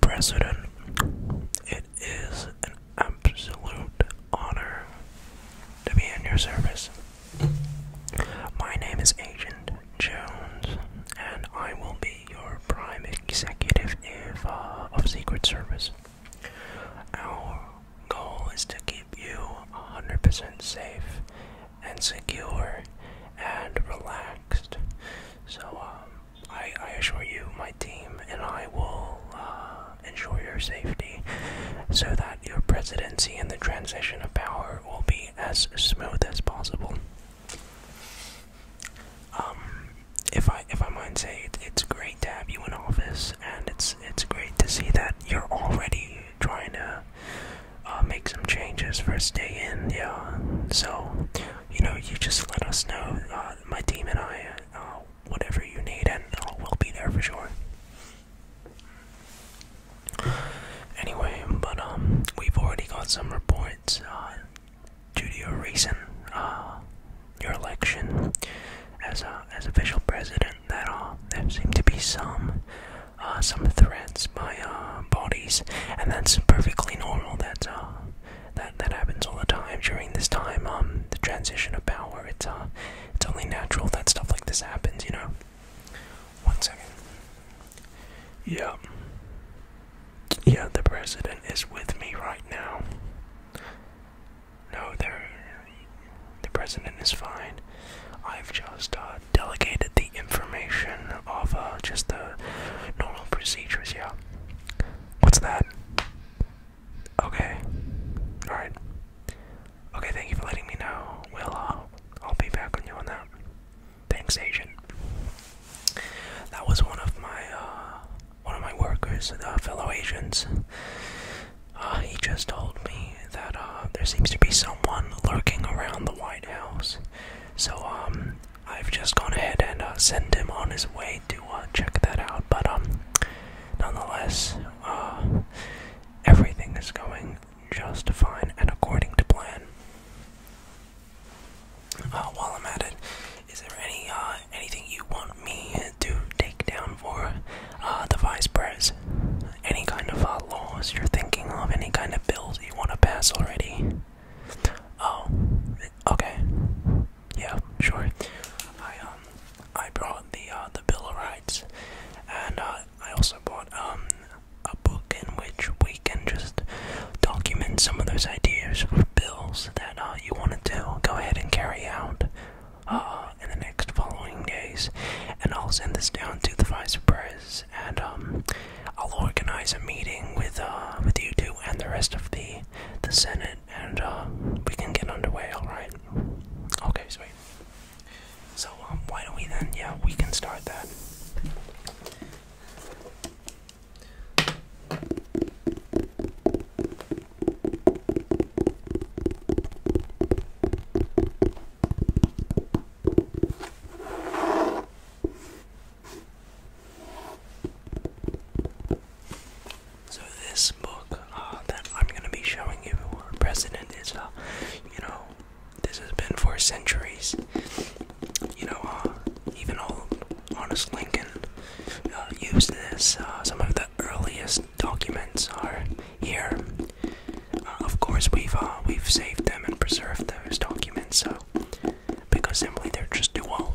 President, it is an absolute honor to be in your service. My name is Agent Jones, and I will be your prime executive uh, of Secret Service. Our goal is to keep you 100% safe and secure and relaxed. So, um, I, assure you, my team and I will uh, ensure your safety so that your presidency and the transition of power will be as smooth as possible. Um, if I if I might say, it's great to have you in office, and it's it's great to see that you're already trying to uh, make some changes first day in. Yeah, so you know you just let us know. Uh, my team and I, uh, whatever you need, and uh, we'll be there for sure. Anyway, but um, we've already got some reports due to your recent uh, your election as a as official president that uh, there seem to be some uh, some threads by uh, bodies, and that's perfectly normal. That uh, that that happens all the time during this time. Um, the transition of power. It's uh, it's only natural that stuff like this happens. You know. One second. Yeah. Yeah, the president is with me right now. No, they the president is fine. I've just uh, delegated the information of uh, just the normal procedures, yeah. What's that? Okay. Alright. Okay, thank you for letting me know. we uh, I'll be back on you on that. Thanks, agent. That was one of my, uh, one of my workers, fellow agents. Uh, he just told me that uh, there seems to be someone lurking around the White House. So um, I've just gone ahead and uh, sent him on his way to check that out. But um, nonetheless, everything is going just fine and according to plan. while I'm at it, is there any anything you want me to take down for uh, the vice pres. Any kind of uh, laws you're thinking of, any kind of bills you want to pass already. Oh, okay. Yeah, sure. I um, I brought the uh, the Bill of Rights, and I also bought um a book in which we can just document some of those ideas for bills that you want to go ahead and carry out uh, in the next following days, and I'll send this down to the vice pres, and um, I'll organize a meeting with uh, with you two and the rest of the the Senate, and uh, we can get underway. All right? Okay, sweet. So um, why don't we then? Yeah, we can start that. So this book uh, that I'm going to be showing you, President, is, a, uh, you know, this has been for centuries. You know, uh, even old honest Lincoln use this. Uh, some of the earliest documents are here. Uh, of course, we've uh, we've saved them and preserved those documents, so because simply they're just too old.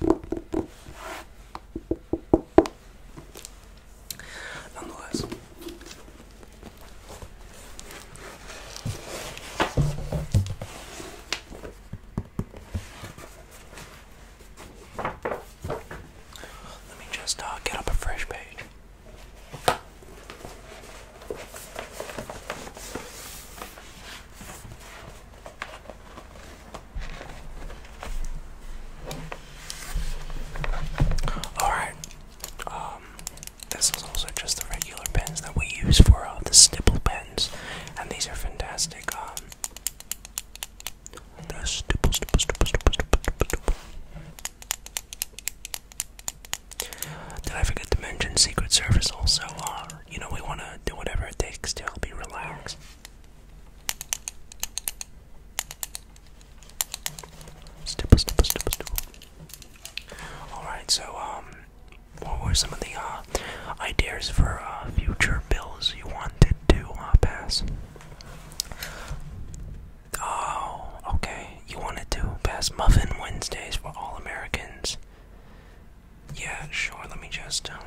Nonetheless, let me just uh, get up a fresh page. Alright, um, this is also just the regular pens that we use for uh, the stipple pens, and these are fantastic. Um, the stipple, stipple, stipple, stipple, stipple, stipple. Did I forget to mention Secret Service also uh, you know, we want to do whatever it takes to help you relax. Alright, so, um, what were some of the uh, ideas for uh, future bills you wanted to uh, pass? Oh, okay. You wanted to pass Muffin Wednesdays for all Americans. Yeah, sure, let me just, um,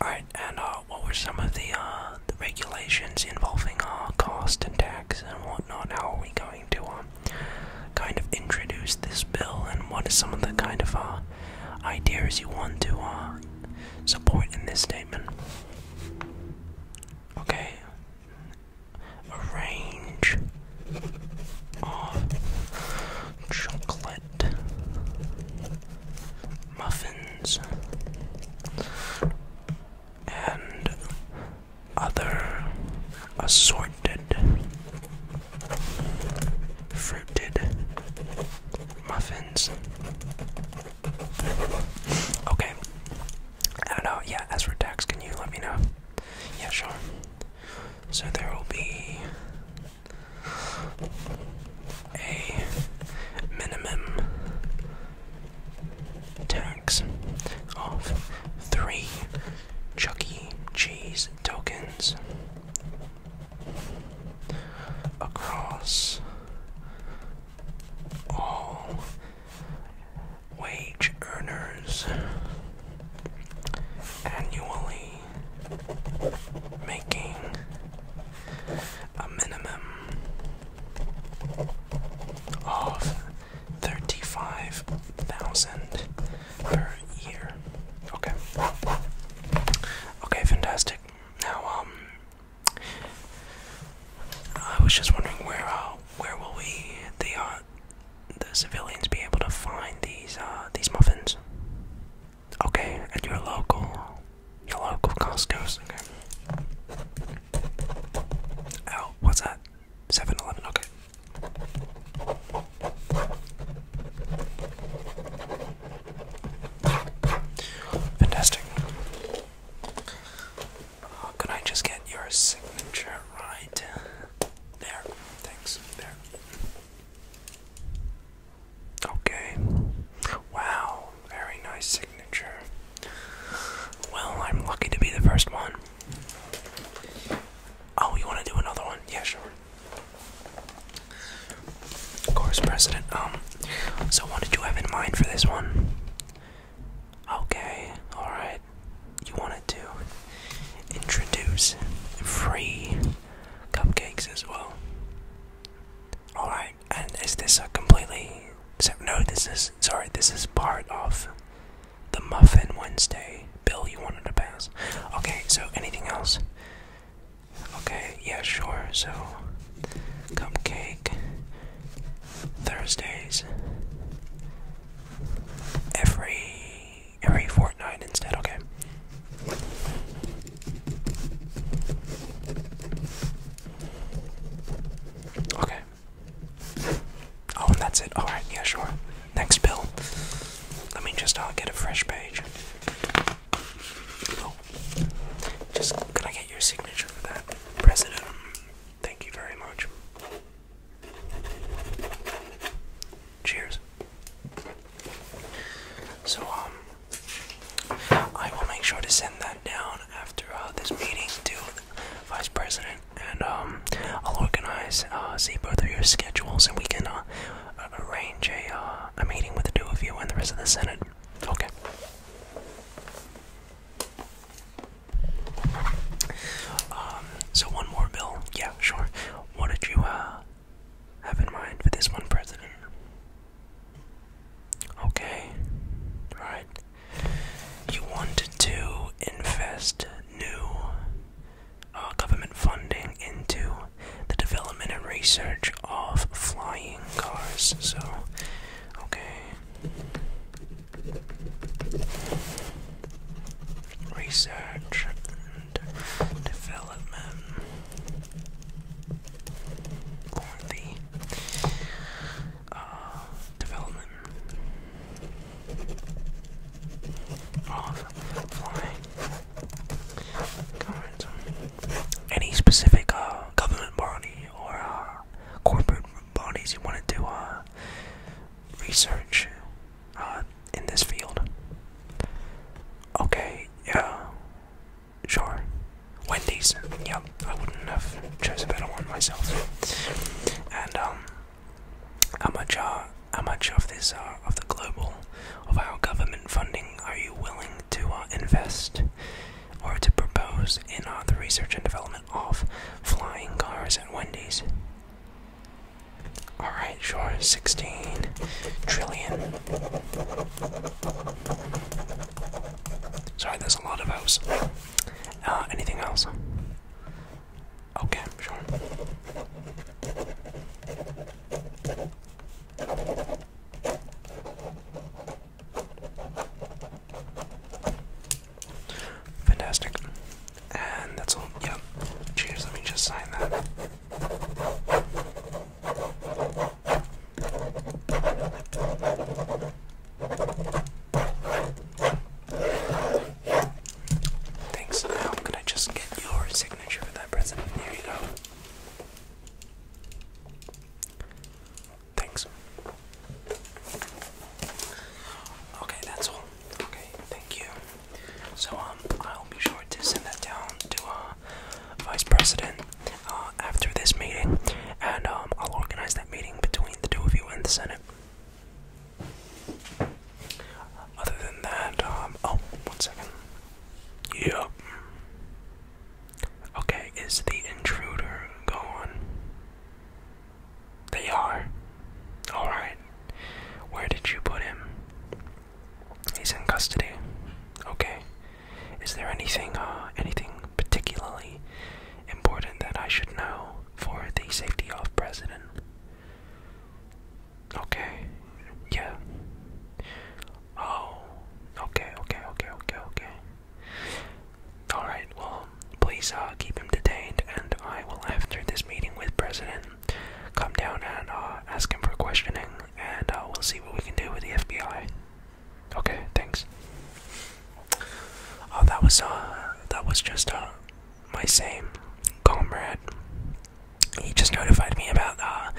Alright, and, uh, what were some of uh, the, regulations involving, uh, cost and tax and whatnot? How are we going to, um, kind of introduce this bill, and what are some of the kind of, uh, ideas you want to, support in this statement? Okay. A range of chocolate muffins and other assorted fruited muffins Okay. I do Yeah, as for tax, can you let me know? Yeah, sure. So there will be a minimum tax of three Chuck E. Cheese tokens across all wage earners annually making a minimum of 35,000 per year. Okay. Okay, fantastic. Now um, I was just wondering where uh, where will we the uh, the civilians be able to find these uh, these muffins? Okay, at your local your local Costco's. Okay. Oh, what's that? 7 Okay. Fantastic. Uh, could I just get your signature right there? Thanks. There. Okay. Wow. Very nice signature. Well, I'm lucky to be the first one. Oh, you want to do another one? Yeah, sure. Of course, President. Um, so what did you have in mind for this one? Okay, alright. You wanted to introduce free cupcakes as well. Alright, and is this a completely. No, this is. Sorry, this is part of the Muffin Wednesday bill you wanted to pass. Okay, so anything else? Okay, yeah, sure. So, cupcake Thursdays every every fortnight instead. Okay. Okay. Oh, and that's it. Alright, yeah, sure. Next bill. Let me just uh, get a fresh page just could I get your signature for that, President? Thank you very much. Cheers. So, um, I will make sure to send that down after uh, this meeting to Vice President, and um, I'll organize, uh, see both of your schedules, and we can uh, arrange uh, a, meeting with the two of you and the rest of the Senate. Okay. Um, so one more bill. Yeah, sure. What did you uh, have in mind for this one, President? Okay. Alright. You wanted to invest new uh, government funding into the development and research of flying cars. So, okay. Research development the uh, development of flying any specific uh, government body or uh, corporate bodies you want to do uh, research in this field? Okay, yeah, sure. Wendy's. Yep, I wouldn't have chosen better one myself. And um, how much how much of this uh, of the global of our government funding are you willing to uh, invest or to propose in uh, the research and development of flying cars and Wendy's? All right, sure, 16 trillion. Sorry, there's a lot of those. Uh, anything else? Okay, sure. Fantastic. And that's all. Yep. Cheers, let me just sign that. Thanks. Now, gonna just get your signature for that president. Here you go. Thanks. Okay, that's all. Okay, thank you. So, um, I'll be sure to send that down to, uh, Vice President, uh, after this meeting, and, um, I'll organize that meeting between the two of you in the Senate. Other than that, um, oh, one second. Yep. Okay, is the intruder gone? They are. Alright. Where did you put him? He's in custody. Okay. Is there anything, uh, anything particularly important that I should know for the safety of president? Okay. Yeah. Oh. Okay, okay, okay, okay, okay. Alright, well, please uh, keep him detained, and I will, after this meeting with President, come down and uh, ask him for questioning, and uh, we'll see what we can do with the FBI. Okay, thanks. Oh, that was, uh, that was just, uh, my same comrade. He just notified me about uh,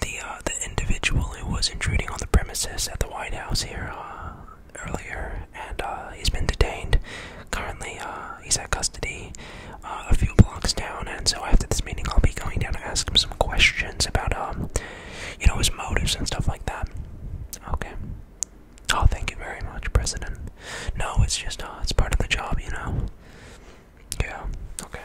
the uh, the individual who was intruding on the premises at the White House here uh, earlier, and he's been detained. Currently, he's at custody a few blocks down, and so after this meeting, I'll be going down to ask him some questions about um, you know, his motives and stuff like that. Okay. Oh, thank you very much, President. No, it's just, uh, it's part of the job, you know? Yeah, okay.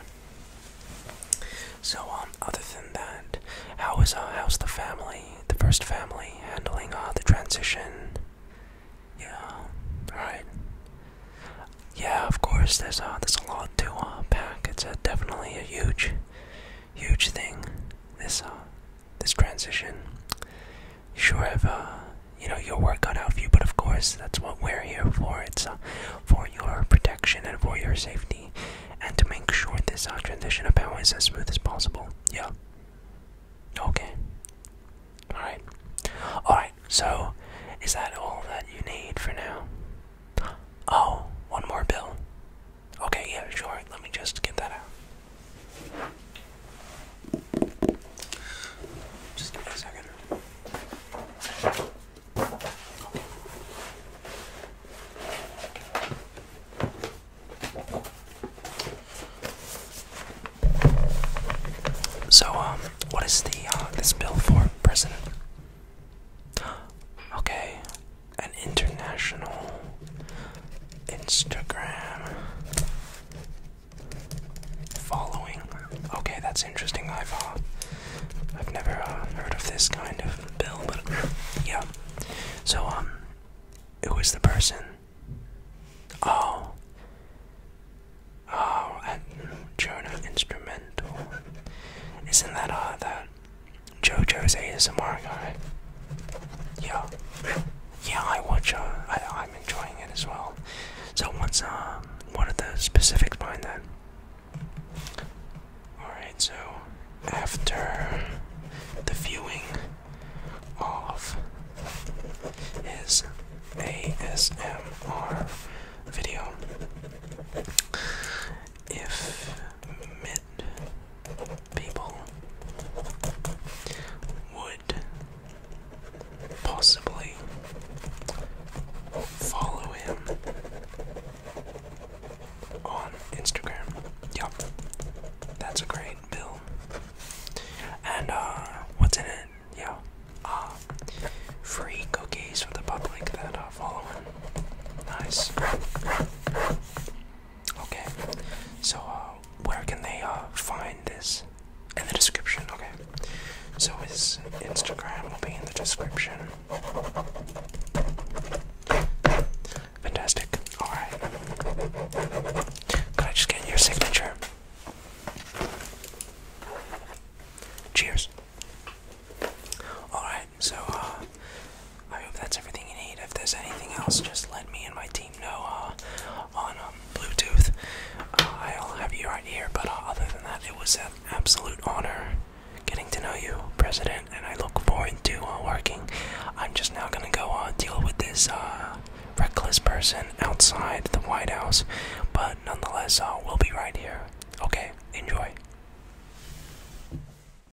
So, um, other than that, how is, uh, how's the family, the first family, handling, uh, the transition? Yeah, alright. Yeah, of course, there's, uh, there's a lot to, uh, pack. It's, uh, definitely a huge, huge thing. This, uh, this transition. Sure have uh, you know your work cut out for you, but of course that's what we're here for. It's uh, for your protection and for your safety, and to make sure this uh, transition of power is as smooth as possible. Yeah. Okay. All right. All right. So, is that all that you need for now? Oh, one more bill. Okay, yeah, sure. Let me just get that out. Just give me a second. So, um, what is the uh, this bill for, President? Okay, an international Instagram following. Okay, that's interesting. I've uh, I've never uh, heard of this kind of bill, but yeah. So um, who is the person? Oh, oh, and Jonah Instrumental. Isn't that uh that JoJo's ASMR guy? Yeah yeah, I watch. Uh, I, am enjoying it as well. So, what's uh, what are the specifics behind that? All right. So, after the viewing of his ASMR video, if mid people would possibly follow him on Instagram. Yup, that's a great bill. And uh, what's in it? Yeah, uh, free cookies for the public that are uh, following. Nice. Okay, so uh, where can they uh, find this? In the description, okay. So his Instagram will be in the description. Fantastic. Alright. Could I just get your signature? Cheers. Alright, so uh, I hope that's everything you need. If there's anything else, just let me and my team know uh, on um, Bluetooth. Uh, I'll have you right here, but other than that, it was an absolute honor getting to know you, President, and I look forward to working. I'm just now gonna go deal with this reckless person outside the White House, but nonetheless, we'll be right here. Okay, enjoy.